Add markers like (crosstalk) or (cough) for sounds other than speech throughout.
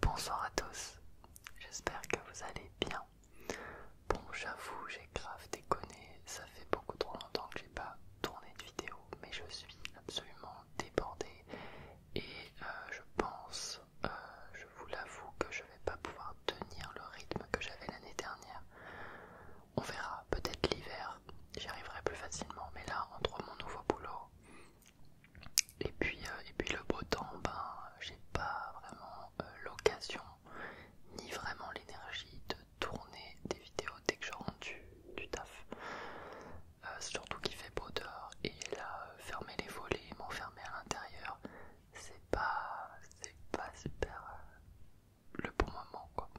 Bonsoir à tous, j'espère que vous allez bien. Bon, j'avoue, j'ai grave déconné, ça fait beaucoup trop longtemps que j'ai pas tourné de vidéo, mais je suis absolument débordé et euh, je pense, euh, je vous l'avoue, que je vais pas pouvoir tenir le rythme que j'avais l'année dernière. On verra, peut-être l'hiver, j'y arriverai plus facilement, mais là, entre mon nouveau boulot, et puis, euh, et puis le beau temps, ben, j'ai pas vraiment euh, l'occasion ni vraiment l'énergie de tourner des vidéos dès que je rentre du, taf. Euh, surtout qu'il fait beau dehors et là, fermer les volets, m'enfermer à l'intérieur, c'est pas, pas super le bon moment quoi.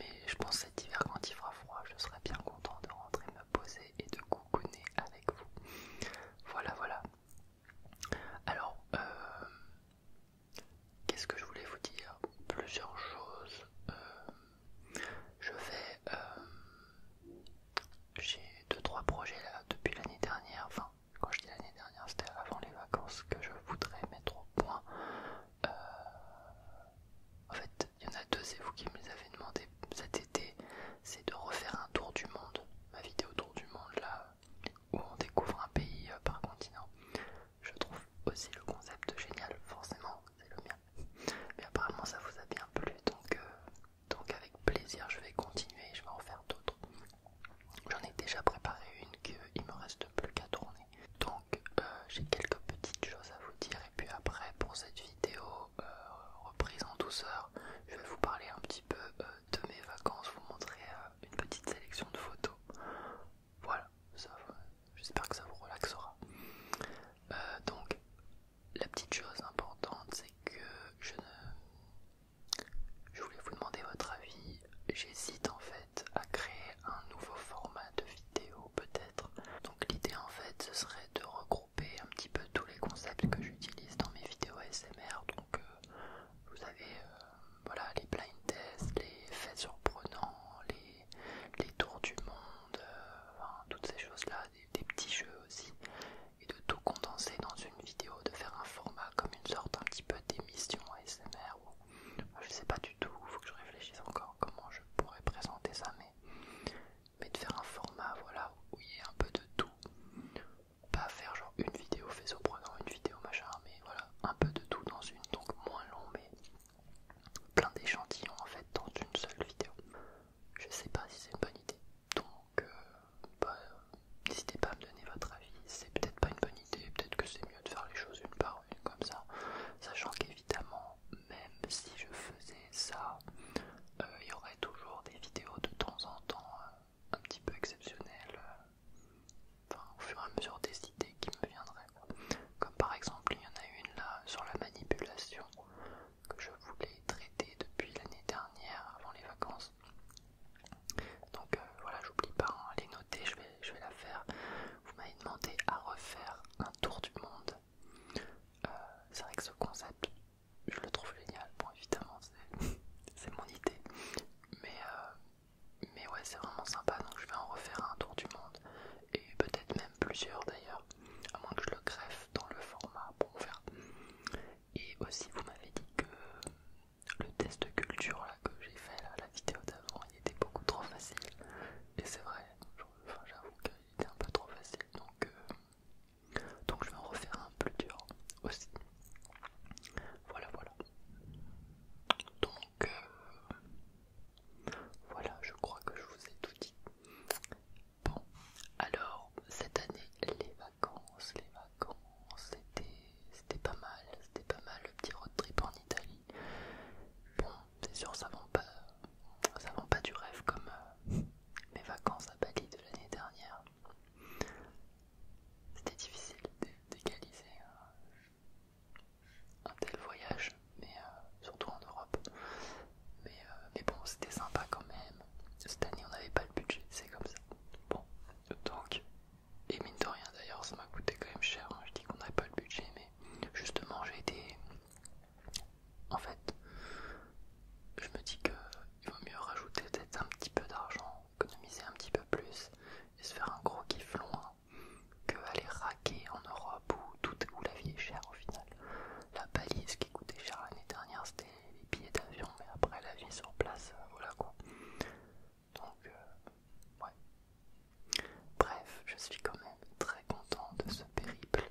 Mais je pense cet hiver quand il fera froid, je serai bien content de rentrer poser et de coucouner avec vous. Voilà, voilà. Alors, euh, qu'est-ce que je voulais vous dire Plusieurs choses. Euh, je vais... Euh, j'ai deux, trois projets là depuis l'année dernière. Enfin, quand je dis l'année dernière, c'était avant les vacances que je voudrais mettre au point. en fait, il y en a deux, c'est vous qui me les avez demandé cet été, c'est de refaire un tour du monde, ma vidéo tour du monde là, où on découvre un pays euh, par continent. Je trouve aussi le concept génial, forcément, c'est le mien. Mais apparemment ça vous a bien plu, donc, euh, donc avec plaisir je vais continuer, je vais en faire d'autres. J'en ai déjà préparé une qu'il me reste plus qu'à tourner. Donc euh, j'ai quelques petites choses à vous dire et puis après pour cette vidéo euh, reprise en douceur, je vais vous parler un petit peu euh, de mes vacances, vous montrer euh, une petite sélection de photos. Voilà, j'espère que ça vous relaxera. donc, la petite chose importante, c'est que je ne... Je voulais vous demander votre avis. J'hésite en fait à créer un nouveau format de vidéo peut-être. Donc l'idée en fait, ce serait de regrouper un petit peu tous les concepts que j'utilise dans mes vidéos SMR. Donc euh, vous avez euh, voilà, les blind tests, les faits surprenants, les, les tours du monde, euh, enfin, toutes ces choses-là, des, petits jeux aussi. Et de tout condenser dans une vidéo, de faire un format comme une sorte un petit peu d'émission ASMR. je sais pas du tout, il faut que je réfléchisse encore comment je pourrais présenter ça, mais mais de faire un format voilà, où il y a un peu de tout. Pas faire genre une vidéo faisceau une vidéo machin, mais voilà, un peu de tout dans une, donc moins long, mais plein d'échantillons en fait dans une seule vidéo. Je sais pas si c'est une bonne idée, donc euh, bah, n'hésitez pas à me donner votre avis. C'est peut-être pas une bonne idée, peut-être que c'est mieux de faire les choses une par une comme ça, sachant qu'évidemment, même si je faisais ça. Euh, il y aurait toujours des vidéos de temps en temps euh, un petit peu exceptionnelles, euh, enfin, au fur et à mesure des idées qui me viendraient. Comme par exemple, il y en a une là sur la manipulation que je voulais traiter depuis l'année dernière avant les vacances. Donc voilà, j'oublie pas, hein, les noter, je vais, je vais la faire. Vous m'avez demandé à refaire un tour du monde. c'est vrai que ce concept je le trouve génial. Bon, évidemment, c'est (laughs) mon idée, mais, euh, mais ouais, c'est vraiment sympa. Donc, je vais en refaire un tour du monde et peut-être même plusieurs d'ailleurs, à moins que je le greffe dans le format. pour vous Et aussi, vous m'avez dit que le test de culture là, que j'ai fait la vidéo d'avant, il était beaucoup trop facile, et c'est vrai. J'avoue qu'il était un peu trop facile, donc euh, donc je vais en refaire un plus dur aussi. Voilà, voilà. Donc euh, voilà, je crois que je vous ai tout dit. Bon, alors cette année, les vacances, les vacances, c'était c'était pas mal, c'était pas mal le petit road trip en Italie. Bon, c'est sûr, ça va... pas ça n'avons pas du rêve comme euh, mes vacances à Bali de l'année dernière. C'était difficile d'égaliser euh, un, tel voyage, mais euh, surtout en Europe. Mais, bon, c'était sympa quand même. Cette année, on n'avait pas le budget, c'est comme ça. Bon, donc, et mine de rien d'ailleurs, ça m'a coûté quand même cher. Je dis qu'on n'avait pas le budget, mais justement, j'ai été en fait, je me dis qu'il vaut mieux rajouter peut-être un petit peu d'argent, économiser un petit peu plus et se faire un gros kiff loin que aller raquer en Europe où, tout, où la vie est chère au final. La balise qui coûtait cher l'année dernière, c'était les billets d'avion, mais après la vie sur place, euh, voilà quoi. Donc, euh, ouais. Bref, je suis quand même très content de ce périple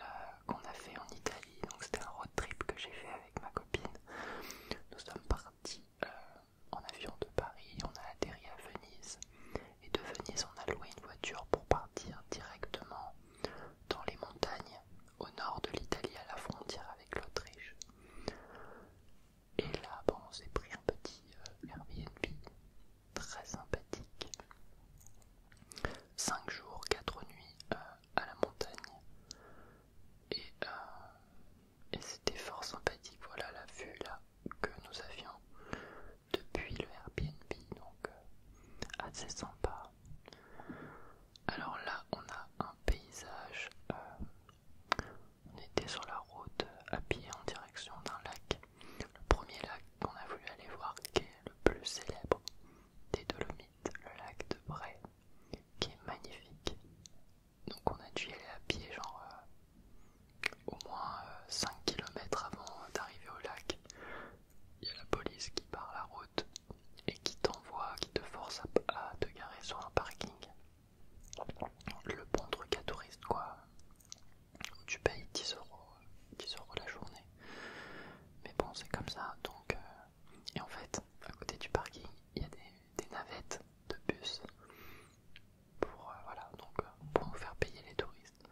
euh, qu'on a fait en Italie. Donc c'était un road trip que j'ai fait avec ma copine. Nous sommes partis euh, en avion de Paris, on a atterri à Venise. Et de Venise, on a loué une voiture pour partir directement dans les montagnes au nord de l'Italie, à la frontière avec l'Autriche. Et là, bon, on s'est pris un petit euh, Airbnb très sympathique. 5 jours, 4 nuits euh, à la montagne. Euh, et, c'était fort sympathique, voilà la vue là que nous avions depuis le Airbnb, donc euh, assez sympa. Alors là, on a un paysage. on était sur la route à pied en direction d'un lac. Le premier lac qu'on a voulu aller voir qui est le plus célèbre des Dolomites, le lac de Bray, qui est magnifique. Donc on a dû y aller à pied genre euh, au moins 5 euh, km avant d'arriver au lac. Il y a la police qui part la route et qui t'envoie, qui te force à, te garer sur un parking. Le bon truc à touristes, quoi. Tu payes 10 euros, euros la journée. Mais bon, c'est comme ça. Donc, euh, Et en fait, à côté du parking, il y a des, navettes de bus pour, euh, voilà, donc, euh, pour vous faire payer les touristes.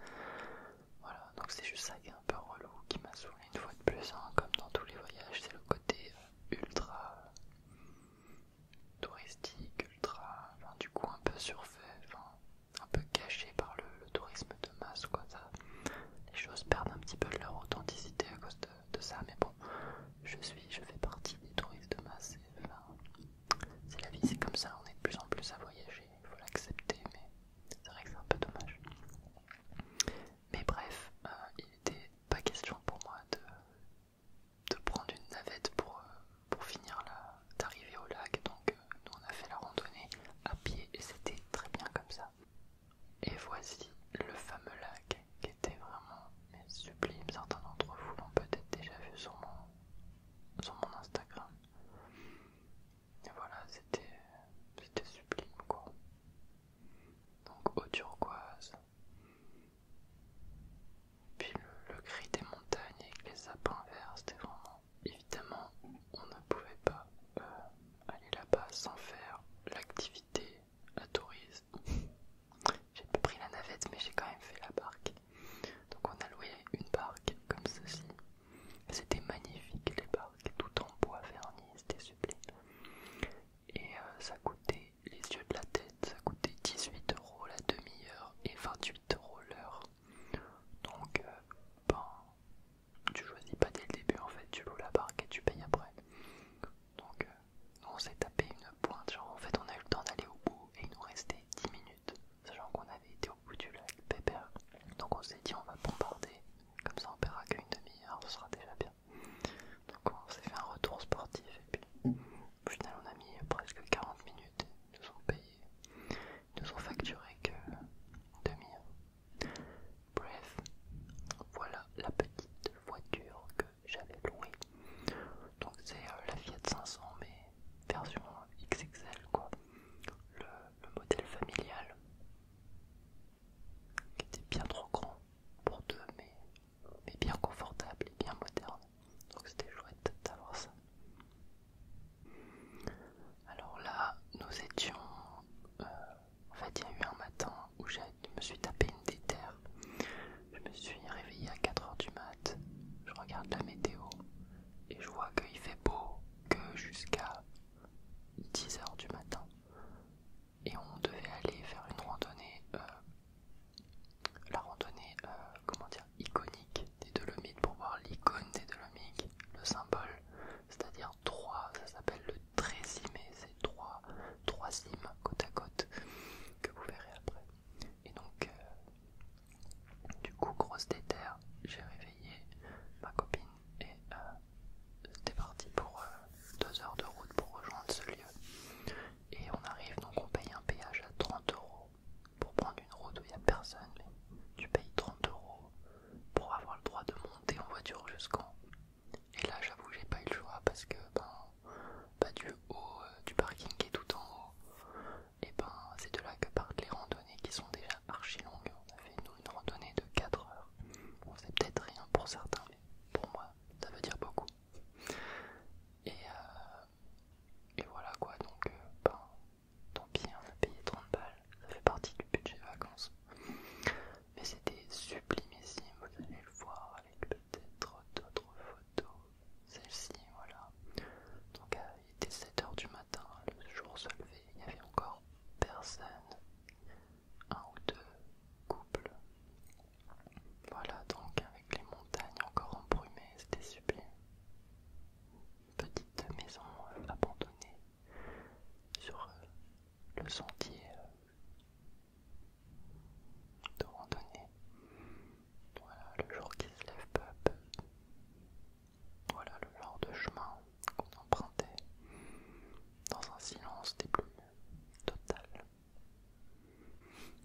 Voilà, donc c'est juste ça qui est un peu relou, qui m'a saoulé une fois de plus, hein, comme dans tous les voyages, c'est le côté ultra touristique, ultra, du coup un peu surfait, un peu caché par le, le tourisme de masse quoi ça les choses perdent un petit peu leur authenticité à cause de, ça mais bon je suis je fais partie des touristes de masse c'est la vie c'est comme ça on est de plus en plus à voyager il faut l'accepter mais c'est vrai que c'est un peu dommage mais bref euh, il n'était pas question pour moi de, de prendre une navette pour, euh, pour finir là d'arriver au lac donc euh, nous on a fait la randonnée à pied et c'était très bien comme ça et voici le fameux lac qui était vraiment sublime. Certains d'entre vous l'ont peut-être déjà vu sur mon, sur mon Instagram. Et voilà, c'était sublime quoi. Donc eau turquoise. Puis le, le gris des montagnes avec les sapins verts, c'était vraiment évidemment, on ne pouvait pas euh, aller là-bas sans faire l'activité à tourisme. (laughs) j'ai pas pris la navette, mais j'ai quand même fait la barque. Donc on a loué une barque comme ceci. C'était magnifique les barques, tout en bois vernis, c'était sublime. Et euh, ça coûtait les yeux de la tête, ça coûtait 18 euros la demi-heure et 28 euros l'heure. Donc, euh, ben, tu choisis pas dès le début en fait, tu loues la barque et tu payes après. Donc euh, on s'est tapé une pointe, genre en fait on a eu le temps d'aller au bout et il nous restait 10 minutes, sachant qu'on avait été au bout du lac Pépère. Donc on s'est dit on va bombarder, comme ça on paiera qu'une demi-heure, ce sera déjà bien. Donc on s'est fait un retour sportif et puis au final on a mis presque 40 minutes, ils nous ont payé, ils nous ont facturé que demi-heure. Bref, voilà la petite voiture que j'avais louée. Donc c'est euh, la Fiat 500 mais version XXL quoi. Le, modèle familial qui était bien trop grand pour deux mais, mais bien confortable et bien moderne. Donc c'était chouette d'avoir ça. Alors là, nous étions euh, en fait, il y a eu un matin où je me suis tapé une déterre. Je me suis réveillé à 4h du mat. Je regarde la météo et je vois qu'il fait beau que jusqu'à 10h du matin. Et on devait aller faire une randonnée, euh, la randonnée, euh, comment dire, iconique des Dolomites pour voir l'icône des Dolomites, le symbole, c'est-à-dire 3, ça s'appelle le mai c'est 3 3, côte à côte que vous verrez après. Et donc, euh, du coup, grosse déterre, j'ai réveillé ma copine et euh, c'était parti pour 2 euh, heures de route pour rejoindre ce lieu. Et on arrive, donc on paye un péage à 30 euros pour prendre une route où il n'y a personne, mais tu payes 30 euros pour avoir le droit de monter en voiture jusqu'en Et là, j'avoue, j'ai pas eu le choix parce que ben, ben du haut euh, du parking qui est tout en haut, et ben c'est de là que partent les randonnées qui sont déjà archi longues. On a fait une randonnée de 4 heures. on c'est peut-être rien pour certains, mais pour moi, ça veut dire beaucoup. Et, euh, voilà quoi, donc euh, ben, tant pis, on a payé 30 balles, ça fait partie du budget vacances. Mais c'était ici, vous allez le voir avec peut-être d'autres photos. Celle-ci, voilà. Donc euh, il était 7h du matin, le jour se levait, il n'y avait encore personne. Un ou deux couples. Voilà donc avec les montagnes encore embrumées, c'était sublime. Petite maison euh, abandonnée sur euh, le sentier euh, de randonnée. Voilà le jour qui se lève peu à peu. Voilà le genre de chemin qu'on empruntait dans un silence des plumes total.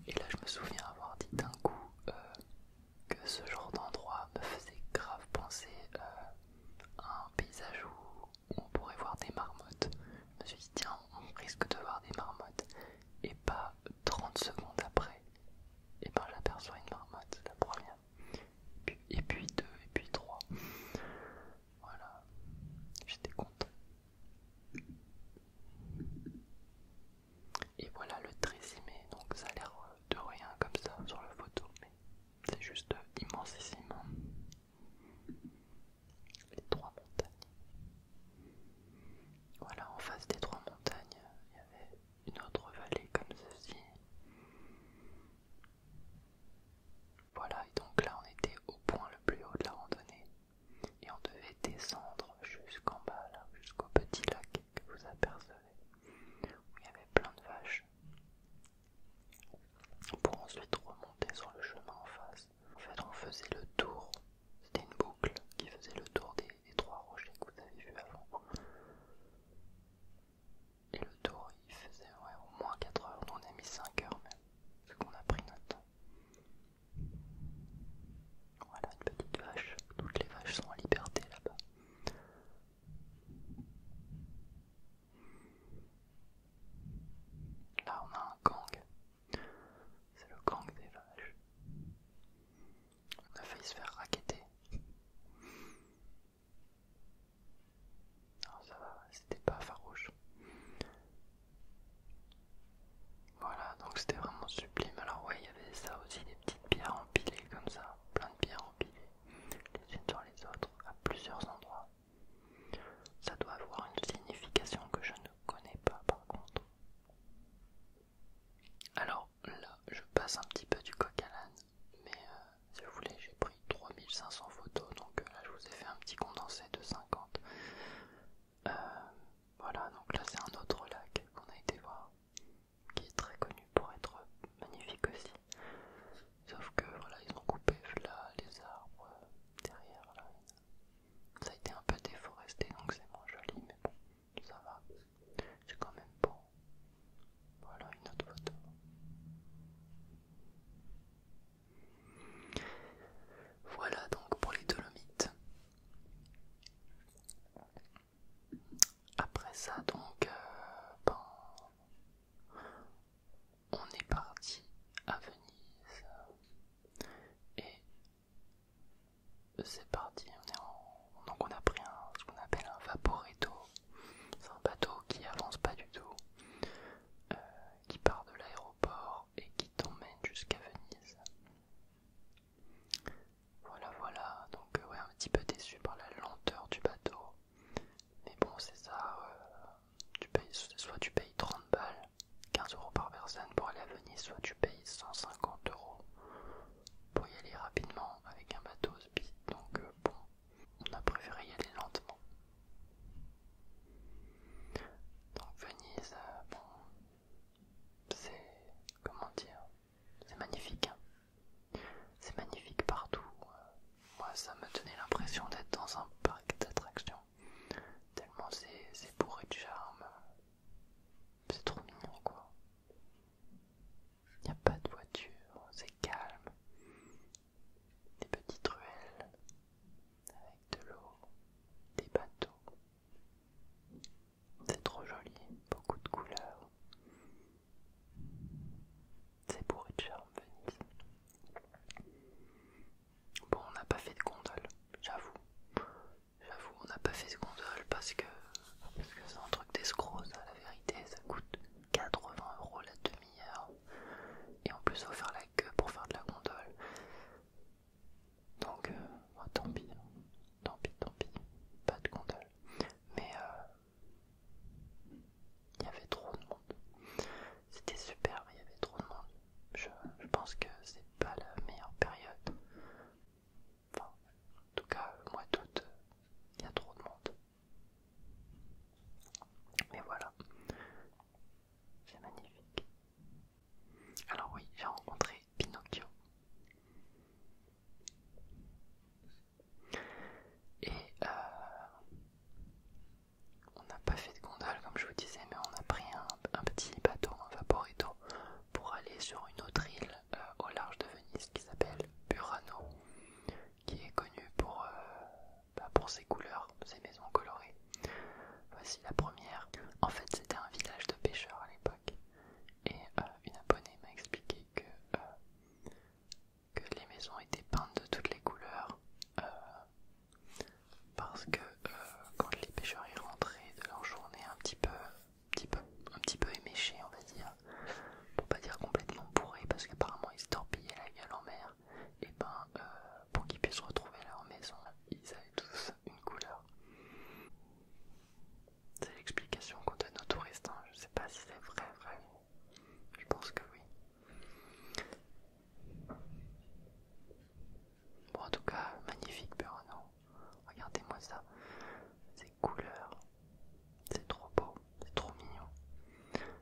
Et là je me souviens avoir dit d'un coup euh, que ce genre d'endroit me faisait grave penser un paysage où, on pourrait voir des marmottes. Je me suis dit, tiens, on risque de voir des marmottes. Et pas 30 secondes après, et eh ben j'aperçois une marmotte, la première. Et puis deux, et puis trois. Voilà, j'étais content. Et voilà le 13 mai, donc ça a l'air de rien comme ça sur la photo, mais c'est juste immensissime. Les trois montagnes. Voilà, en face des trois montagnes, il y avait une autre vallée comme ceci. Voilà, et donc là on était au point le plus haut de la randonnée. Et on devait descendre jusqu'en bas, là, jusqu'au petit lac que vous apercevez, où il y avait plein de vaches pour ensuite remonter sur le chemin en face. En fait, on faisait le tour, c'était une boucle qui faisait le tour des, trois rochers que vous avez vu avant. Et le tour, il faisait au moins 4 heures, On on a mis 5 heures même, ce qu'on a pris notre temps. Voilà une petite vache, toutes les vaches sont en liberté là-bas. Là, on a un gang. C'est le gang des vaches. On a failli se faire raqueter. Non, ça va, c'était pas farouche. Voilà, donc c'était vraiment sublime. Alors, ouais, il y avait ça aussi, des petites pierres empilées comme ça, plein de pierres empilées les unes sur les autres à plusieurs endroits. Ça doit avoir une signification que je ne connais pas par contre. Alors là, je passe un petit peu du coq à l'âne, mais euh, si vous voulez, j'ai pris 3500 photos, donc euh, là je vous ai fait un petit condensé de 50. Euh, voilà, donc là c'est un autre lac qu'on a été voir, qui est très connu pour être magnifique aussi. Sauf que voilà, ils ont coupé là les arbres euh, derrière là. Ça a été un peu déforesté donc c'est moins joli, mais bon, ça va. C'est quand même bon. Voilà une autre photo. Voilà donc pour les Dolomites. Après ça donc, euh, bon on est parti à Venise. Et c'est parti, on donc on a pris ce qu'on appelle un vaporetto. C'est un bateau qui avance pas du tout, euh, qui part de l'aéroport et qui t'emmène jusqu'à Venise. Voilà, voilà, donc euh, ouais, un petit peu déçu par la lenteur du bateau. Mais bon, c'est ça. Euh, soit tu payes 30 balles, 15 euros par personne pour aller à Venise, soit tu payes 150 euros pour y aller rapidement avec un bateau speed. Donc euh, bon, on a préféré y aller lentement. Donc Venise, euh, bon, c'est comment dire, c'est magnifique. Hein. C'est magnifique partout. Moi, ça m'a donné l'impression d'être dans un parc d'attractions. Tellement c'est bourré de charme. C'est trop mignon, quoi. Il n'y a pas de voiture, c'est calme. Des petites ruelles avec de l'eau, des bateaux. C'est trop joli, beaucoup de couleurs. C'est pour une charme, Venise. Bon, on n'a pas fait de gondole, j'avoue. J'avoue, on n'a pas fait de gondole parce que c'est un truc d'escroc, la vérité. Ça coûte 80 euros la demi-heure. Et en plus, il faut faire la queue pour faire de la gondole. Donc, euh, bah, tant pis, tant pis, tant pis, pas de gondole. Mais euh, il y avait trop de monde. C'était super, il y avait trop de monde. Je, pense que c'est pas la meilleure période. Enfin, en tout cas, moi d'août, il y a trop de monde. Mais voilà, c'est magnifique. Alors oui, j'ai rencontré Pinocchio. Et euh, on n'a pas fait de gondole comme je vous disais, mais on a pris un, petit bateau, un vaporito, pour aller sur une autre île euh, au large de Venise qui s'appelle Burano, qui est connue euh, bah, pour, ses couleurs, ses maisons colorées. Voici la première. En fait, c'était un village de pêcheurs à l'époque. Et une abonnée m'a expliqué que que les maisons étaient peintes de toutes les couleurs euh, parce que euh, quand les pêcheurs y rentraient de leur journée un petit peu, petit peu, un petit peu éméchés on va dire, pour pas dire complètement bourrés parce qu'apparemment ils se torpillaient la gueule en mer, et ben euh, pour qu'ils puissent retrouver leur maison, ils avaient tous une couleur. C'est l'explication qu'on donne aux touristes, hein. je sais pas si c'est vrai, vrai, je pense que oui. Bon, en tout cas, magnifique Burano. Regardez-moi ça. Ces couleurs. C'est trop beau. C'est trop mignon.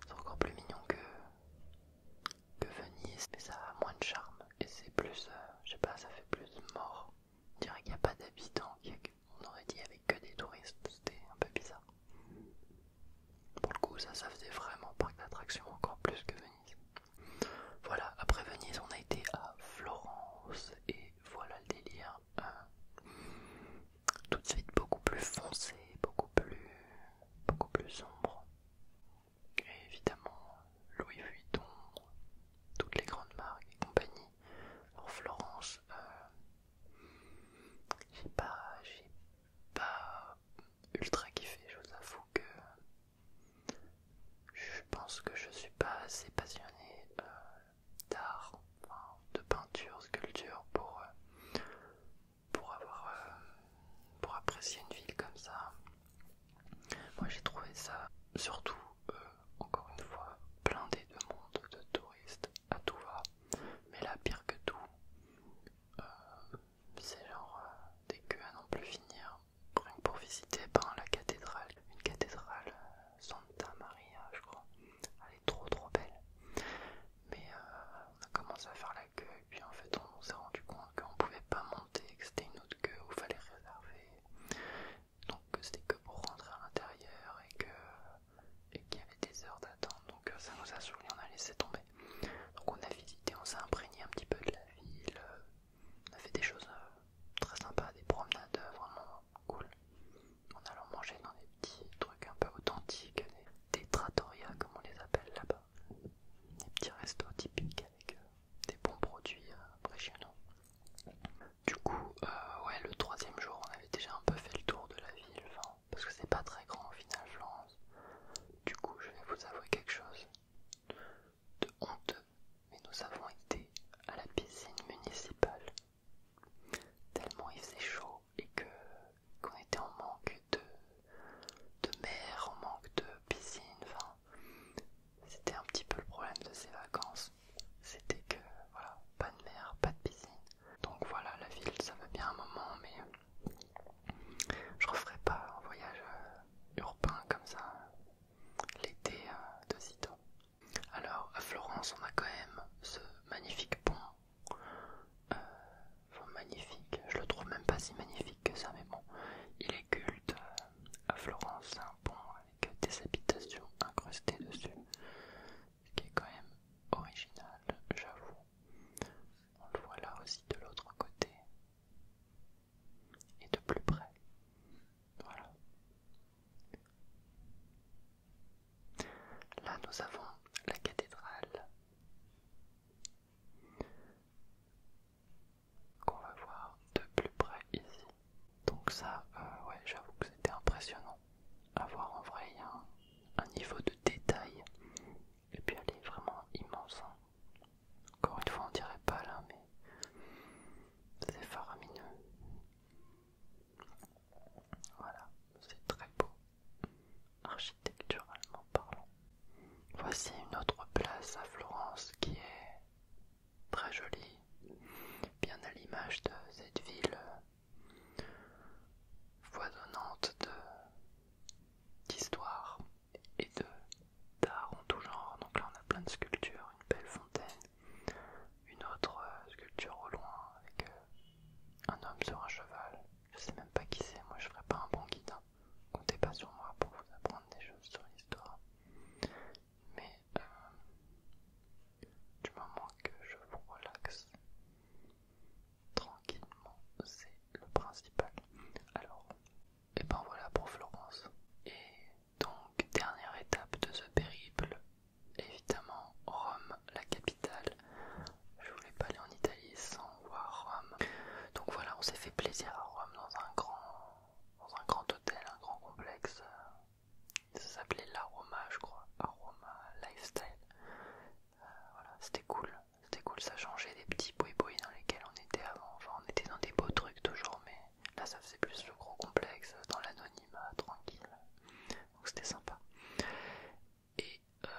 C'est encore plus mignon que, que Venise. Mais ça a moins de charme. Et c'est plus... Euh, je sais pas, ça fait plus mort. On dirait qu'il n'y a pas d'habitants. On aurait dit qu'il avait que des touristes. C'était un peu bizarre. Pour le coup, ça, ça faisait vraiment parc d'attractions encore plus que Venise. Voilà, après Venise, on a été à Florence et voilà le délire. Hein. tout de suite beaucoup plus foncé, beaucoup plus, beaucoup plus sombre. Et évidemment, Louis Vuitton, toutes les grandes marques et compagnie. Alors Florence, euh, j'ai pas, pas ultra kiffé, je vous avoue que je pense que je suis pas assez passionné euh, d'art, de peinture, sculpture pour, euh, pour avoir euh, pour apprécier une ville comme ça. Moi j'ai trouvé ça surtout encore une fois blindé de monde de touristes à tout va. Mais là, pire que tout, euh, c'est genre euh, des queues à non plus finir. Rien que pour visiter ben, la cathédrale, une cathédrale euh, Santa Maria, je crois. Elle est trop trop belle. Mais on a commencé à faire la queue et puis en fait on, s'est rendu compte qu'on pouvait pas monter, que c'était une autre queue où il fallait réserver. Donc que c'était que pour rentrer à l'intérieur et que et qu'il y avait des heures d'attente, donc euh, ça nous a saoulé on a laissé tomber. Donc on a visité, on s'est imprégné un petit peu de la ville, euh, on a fait des choses euh, très sympas, des promenades vraiment cool, a allant manger dans des petits trucs un peu authentiques, des, trattorias comme on les appelle là-bas, des petits restos typiques avec des bons produits chez impressionnants. Du coup, ouais, le troisième jour, on avait déjà un peu fait le tour de la ville, parce que c'est pas très grand au final Du coup, je vais vous avouer quelque chose de honteux, mais nous avons été à la piscine municipale. Tellement il faisait chaud et que qu'on était en manque de, de mer, en manque de piscine, enfin c'était un petit peu le problème de ces vacances. C'était que voilà, pas de mer, pas de piscine. Donc voilà, la ville, ça va bien un moment, mais euh, je referai pas un voyage euh, urbain comme ça euh, l'été de Alors à Florence, on a quand même ce magnifique pont. magnifique, je le trouve même pas si magnifique que ça, mais bon, il est culte à Florence, c'est un pont avec des habitations incrustées dessus qui est quand même original, j'avoue. On le voit là aussi de l'autre côté et de plus près. Voilà. Là, nous avons la cathédrale qu'on va voir de plus près ici. Donc ça, euh, ouais, j'avoue que c'était impressionnant avoir en vrai un, niveau de détail et puis elle est vraiment immense hein. encore une fois on dirait pas là mais c'est faramineux voilà c'est très beau architecturalement parlant voici une autre place à Florence qui est très jolie bien à l'image de cette ville de d'histoire et de d'art en tout genre. Donc là on a plein de sculptures, une belle fontaine, une autre euh, sculpture au loin avec euh, un homme sur un cheval. Je sais même pas qui c'est, moi je ferai pas un bon guide. Hein. Comptez pas sur moi pour vous apprendre des choses sur l'histoire. Mais euh, du moment que je vous relaxe, tranquillement, c'est le principal. Alors, et eh ben voilà pour Florence. Et donc, dernière étape de ce périple, évidemment Rome, la capitale. Je voulais pas aller en Italie sans voir Rome. Donc voilà, on s'est fait plaisir à Rome dans un grand, dans un grand hôtel, un grand complexe. Ça s'appelait La Roma, je crois. Aroma Lifestyle. Euh, voilà, c'était cool c'était cool, ça changeait des petits bruits boui dans lesquels on était avant. genre on était dans des beaux trucs toujours, mais là ça faisait plus le gros complexe, dans l'anonymat, tranquille. Donc c'était sympa. Et euh,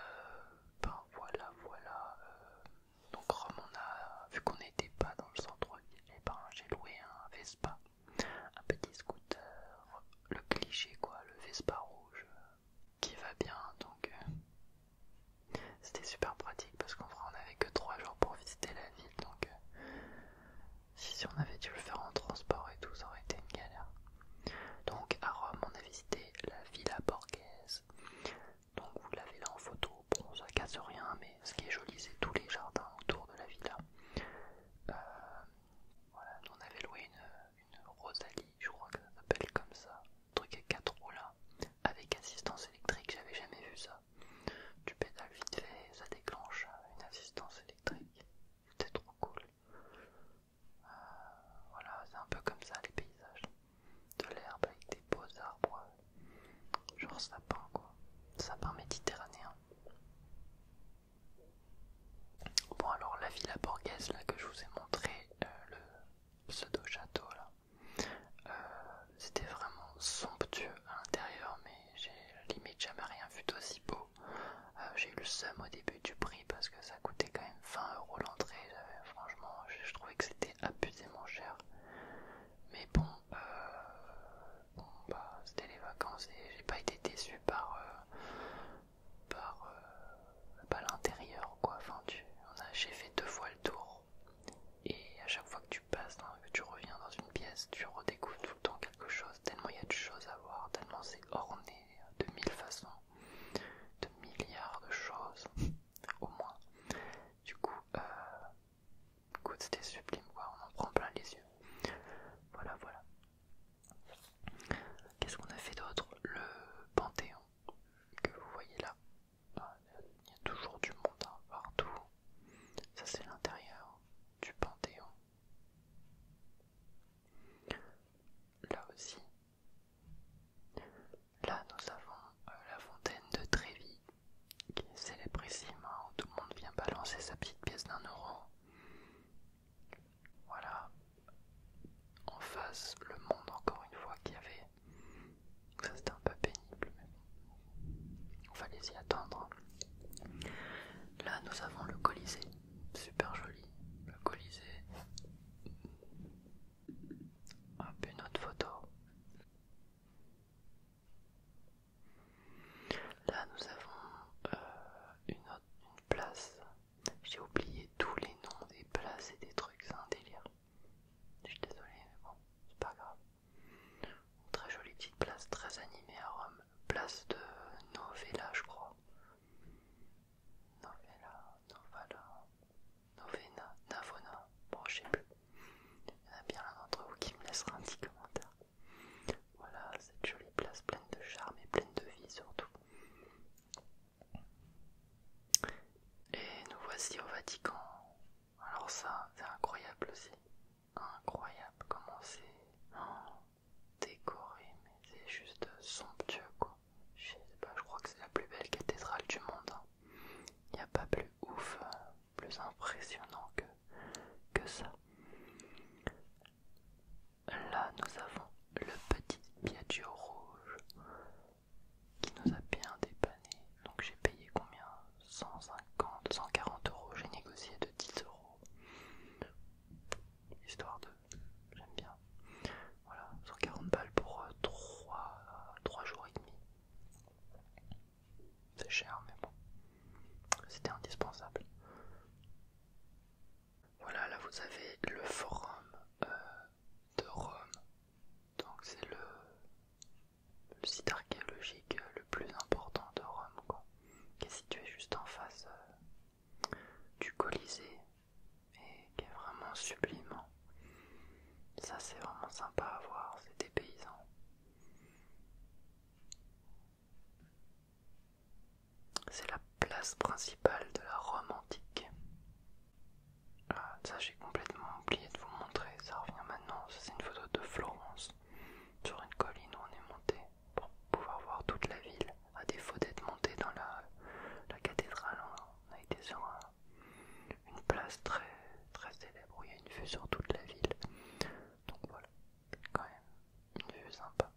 ben voilà, voilà. Euh, donc on a, vu qu'on n'était pas dans le centre-ville, et eh ben j'ai loué un Vespa, un petit scooter, le cliché quoi, le Vespa rouge qui va bien, donc euh, c'était super pratique parce qu'en vrai on n'avait que 3 jours pour visiter la ville, donc euh, si on avait dû le faire en transport et tout, ça aurait été une galère. Donc à Rome, on a visité la Villa Borghese, donc vous l'avez là en photo, bon ça casse rien, mais ce qui est joli c'est tous les jardins autour de la villa. Euh, voilà, on avait loué une Rosalie je crois que ça s'appelle comme ça, truc à 4 roues là, avec assistance électrique, j'avais jamais vu ça. Tu pédales vite fait ça déclenche une assistance électrique, c'était trop cool. Euh, voilà, c'est un peu comme ça les paysages, de l'herbe avec des beaux arbres, euh, genre sapin quoi, sapin méditerranéen. Bon alors la villa borghese là que je vous ai montré, euh, le pseudo-château là. Euh, c'était vraiment somptueux à l'intérieur, mais j'ai limite jamais rien fut aussi beau. Euh, j'ai eu le seum au début du prix parce que ça coûtait quand même 20 euros l'entrée. Franchement, je, trouvais que c'était abusément cher. Mais bon, bon bah, c'était les vacances et j'ai pas été déçu par, par, euh, bah, l'intérieur quoi. Enfin, tu, on a, j'ai fait deux fois le tour et à chaque fois que tu passes, que tu reviens dans une pièce, tu redécouvres tout le temps quelque chose. Tellement il y a de choses à voir, tellement c'est orné de mille façons, de milliards de choses (laughs) au moins. Du coup, euh, c'était sublime quoi. On en prend plein les yeux. Voilà, voilà. Qu'est-ce qu'on a fait d'autre Le Panthéon que vous voyez là. Ah, il y a toujours du monde hein, partout. Ça c'est l'intérieur du Panthéon. Là aussi. Là nous avons euh, la fontaine de Trévi qui est célébrissime hein, tout le monde vient balancer sa petite pièce d'un euro. Voilà. En face, le monde encore une fois qu'il y avait. Ça c'était un peu pénible, mais bon. Fallait y attendre. Là, nous avons le Colisée. Super joli. Le Colisée. Hop, une autre photo. Là, nous avons euh, une, autre, place. J'ai oublié tous les noms des places et des trucs, c'est un délire. Je suis désolé, mais bon, c'est pas grave. très jolie petite place, très animée à Rome. Place de Novella, je crois. Novella, Novala, Novena, Navona, bon, je sais plus. Il y en a bien l'un d'entre vous qui me laissera un petit commentaire. Voilà, cette jolie place pleine de charme et pleine de vie surtout. Et nous voici au Vatican. Alors ça, c'est incroyable aussi. Incroyable comment c'est décoré, mais c'est juste somptueux quoi. Je sais pas, je crois que c'est la plus belle cathédrale du monde. Il hein. n'y a pas plus ouf, euh, plus impressionnant que, que ça. Là, nous avons le petit Piaggio rouge qui nous a bien dépanné. Donc j'ai payé combien 150, 140 euros. J'ai négocié de 10 euros. Histoire de... J'aime bien. Voilà, 140 balles pour 3, euh, jours et demi. C'est cher, mais bon. C'était indispensable. Voilà, là vous avez le forum euh, de Rome. Donc c'est le, site archéologique le plus important de Rome, qui est situé juste en face euh, du Colisée et qui est vraiment sublime. Hein. Ça c'est vraiment sympa à voir, c'est des paysans. C'est la place principale de la Rome antique. Ah, ça j'ai complètement oublié de vous montrer, ça revient maintenant. C'est une photo de Florence sur une colline où on est monté pour pouvoir voir toute la ville. À défaut d'être monté dans la, cathédrale, on a été sur une place très très célèbre où il y a une vue sur toute la ville. Donc voilà, quand même une vue sympa.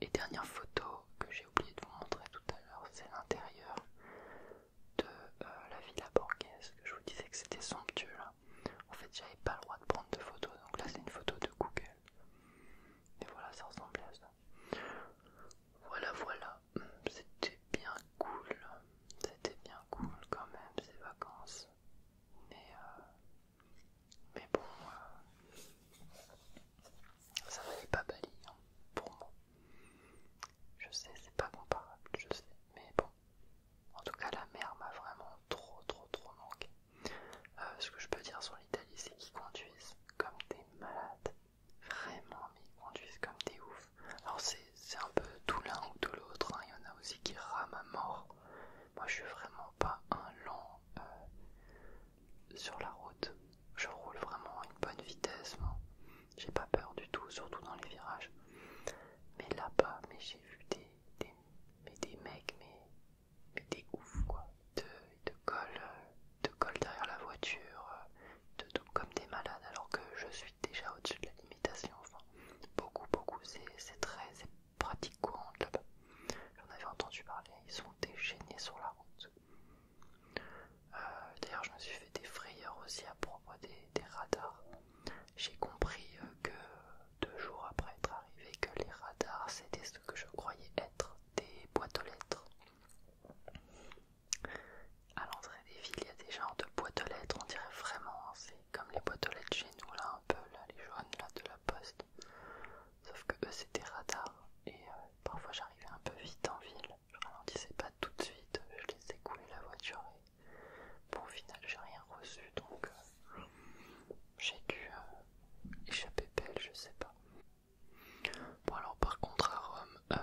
Et dernière photo que j'ai oublié de vous montrer tout à l'heure, c'est l'intérieur de euh, la villa Borghese. Je vous disais que c'était somptueux là. En fait, j'avais pas le droit de prendre de photos, donc là c'est une photo de Google. Et voilà, ça ressemblait à ça. Voilà, voilà, c'était bien cool. C'était bien cool quand même ces vacances. Mais, euh, mais bon, euh, ça valait pas Bali pour moi. Je sais, c'est pas comparable, je sais, mais bon. En tout cas, la mer m'a vraiment trop, trop, trop manqué. Euh, ce que je peux dire sur l'Italie, c'est qu'ils conduisent comme des malades. Vraiment, mais ils conduisent comme des oufs. Alors, c'est un peu tout l'un ou tout l'autre. Hein. Il y en a aussi qui rament à mort. Moi, je suis vraiment pas un lent. Euh, sur la route, je roule vraiment à une bonne vitesse, j'ai pas peur du tout, surtout dans les virages. Mais là-bas, mais j'ai vu des, des, des mecs, mais, des ouf quoi. Ils te, collent, derrière la voiture, de, comme des malades alors que je suis déjà au-dessus de la limitation. Enfin, beaucoup, beaucoup, c'est très pratique courante là-bas. J'en avais entendu parler, ils sont déchaînés sur la route. Euh, d'ailleurs, je me suis fait des frayeurs aussi à propos des, radars. J'ai compris euh, que deux jours après être arrivé, que les radars c'était ce que je croyais être des boîtes aux lettres. À l'entrée des villes, il y a des genres de boîtes aux lettres, on dirait vraiment, hein, c'est comme les boîtes aux lettres chez nous, là, un peu, là, les jaunes, là, de la poste. Sauf que eux c'était radar et euh, parfois j'arrivais un peu vite en ville, je ralentissais pas tout de suite, je ai couler la voiture et au final j'ai rien reçu donc euh, j'ai dû euh, échapper belle, je sais pas. Bon alors par contre à Rome,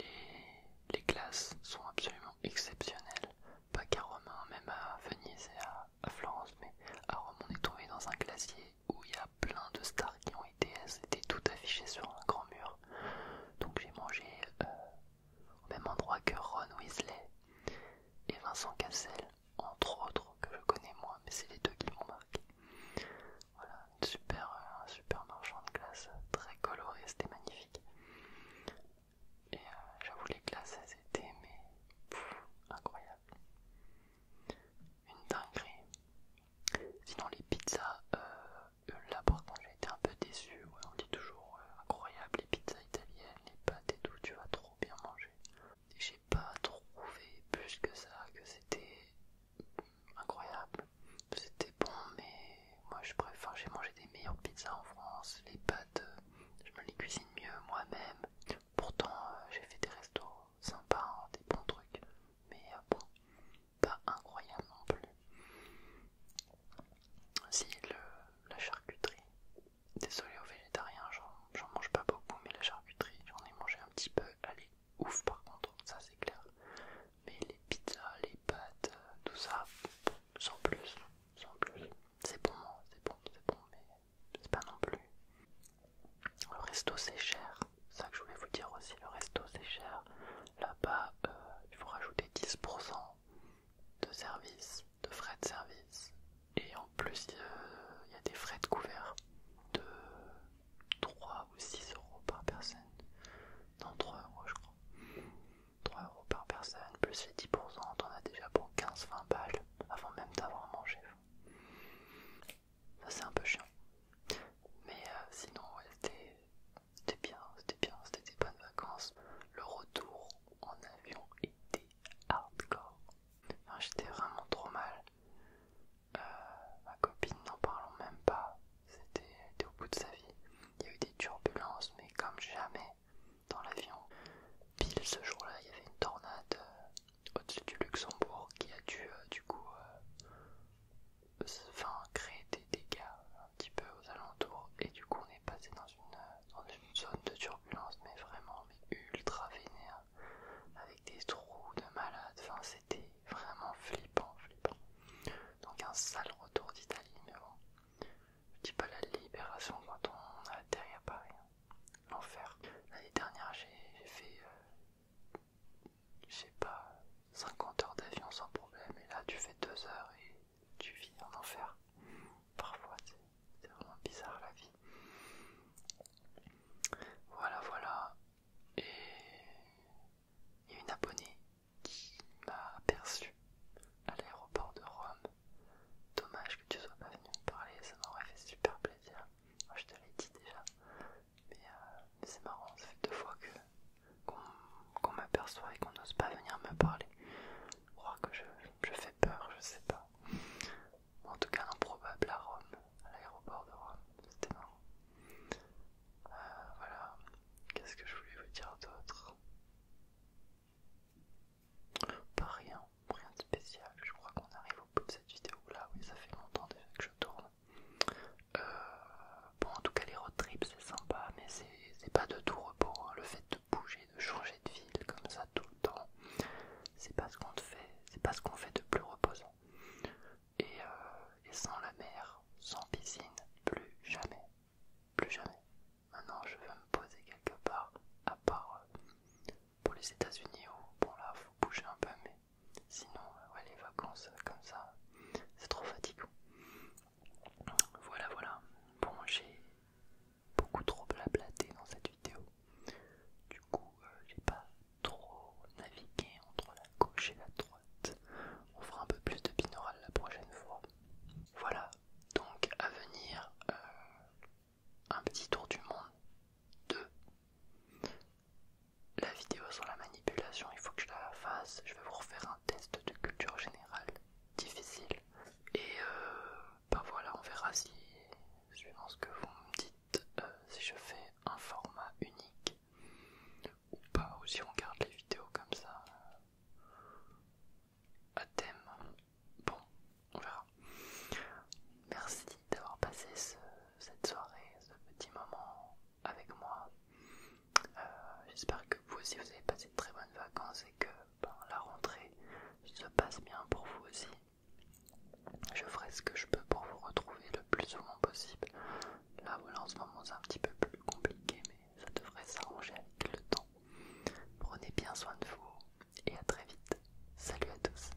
les, les classes sont absolument exceptionnelles, pas qu'à Rome, hein, même à Venise et à Florence, mais à Rome on est tombé dans un glacier où il y a plein de stars qui ont été, tout affichés sur un grand mur. Donc j'ai mangé euh, au même endroit que Ron Weasley et Vincent Cassel, entre autres, que je connais moi, mais c'est les deux qui m'ont marqué. Voilà, super, euh, un super marchand de glace, très coloré, c'était magnifique. Et euh, j'avoue, les glaces, elles étaient mais, incroyables une dinguerie. Sinon, les pizzas, euh, euh, là par contre, j'ai été un peu déçu. on dit toujours euh, incroyable les pizzas italiennes, les pâtes et tout, tu vas trop bien manger. Et j'ai pas trouvé plus que ça, que c'était incroyable. C'était bon, mais moi je préfère, j'ai mangé des meilleures pizzas en France. Les pâtes, je me les cuisine mieux moi-même. Pourtant, j'ai fait des restos sympa, hein, des bons trucs, mais euh, bon, pas incroyable non plus. Si la charcuterie, désolé aux végétariens, j'en mange pas beaucoup, mais la charcuterie, j'en ai mangé un petit peu, elle est ouf par contre, ça c'est clair. Mais les pizzas, les pâtes, euh, tout ça, sans plus, sans plus. C'est bon, hein, c'est bon, c'est bon, mais pas non plus. Le resto c'est cher, c'est ça que je voulais vous dire aussi, le resto c'est cher. Là-bas, euh, il faut rajouter 10% de service, de frais de service. Et en plus, il y a des frais de couvert de 3 ou 6 euros par personne. Non, 3 euros je crois. 3 euros par personne, plus les 10%, t'en a déjà pour 15-20 balles avant même d'avoir mangé c'est un peu chiant. Mais euh, sinon, c'était bien, c'était bien, c'était des bonnes vacances. Le retour en avion était hardcore. J'étais vraiment trop mal. Euh, ma copine, n'en parlons même pas. C'était au bout de sa vie. Il y a eu des turbulences, mais comme jamais dans l'avion. Pile ce jour-là, il y avait une tornade euh, au-dessus du Luxembourg qui a dû euh, du coup euh, créer des dégâts un petit peu aux alentours et du coup on est passé dans une, zone de turbulence mais vraiment ultra vénère avec des trous de malades, enfin c'était vraiment flippant, flippant. Donc un sale retour d'Italie mais bon, je dis pas la libération quand on derrière à Paris. Hein. L'enfer. L'année dernière, j'ai fait, euh, je sais pas, 50 heures d'avion sans problème, et là tu fais 2 heures et tu vis en enfer. Parfois, c'est vraiment bizarre la vie. Voilà, voilà. Et il y a une abonnée qui m'a aperçu à l'aéroport de Rome. Dommage que tu sois pas venu me parler, ça m'aurait fait super plaisir. je te l'ai dit déjà, mais euh, c'est marrant, ça fait deux fois qu'on m'aperçoit et qu'on n'ose pas venir me parler. Je crois que je, fais peur, je sais pas. En tout cas, improbable à Rome, à l'aéroport de Rome, c'était marrant. Euh, voilà, qu'est-ce que je voulais vous dire d'autre Pas rien, rien de spécial, je crois qu'on arrive cette vidéo là, oui ça fait longtemps déjà que je tourne. Euh, bon en tout cas les road trips c'est sympa mais c'est pas de tout repos, hein. le fait de bouger, de changer de ville comme ça tout le temps, c'est pas ce qu'on fait, c'est pas ce qu'on fait de plus reposant. Euh, et, sans la mer, sans piscine, plus jamais, plus jamais. Maintenant je vais me poser quelque part à part euh, pour les États-Unis où bon là faut bouger un peu mais sinon, euh, les vacances euh, comme ça, c'est trop fatigant. Voilà, voilà. Bon, j'ai beaucoup trop blablaté dans cette vidéo. Du coup, euh, j'ai pas trop navigué entre la gauche et la droite. On fera un peu plus de binaural la prochaine fois. Voilà, donc à venir, un petit tour du monde 2. La vidéo sur la manipulation, il faut que je la fasse. Je vais vous refaire un test de culture générale difficile. Et euh, bah voilà, on verra si, je ce que vous me dites, euh, si je fais un format unique ou pas, ou si on garde les vidéos comme ça euh, à thème. Bon, on verra. Merci d'avoir passé cette soirée, ce petit moment avec moi. Euh, j'espère que vous aussi vous avez passé de très bonnes vacances et que ben, la rentrée se passe bien pour vous aussi. Je ferai ce que je peux pour vous retrouver le plus souvent possible. Là voilà en ce moment c'est un petit peu plus compliqué mais ça devrait s'arranger avec le temps. Prenez bien soin de vous et à très vite. Salut à tous.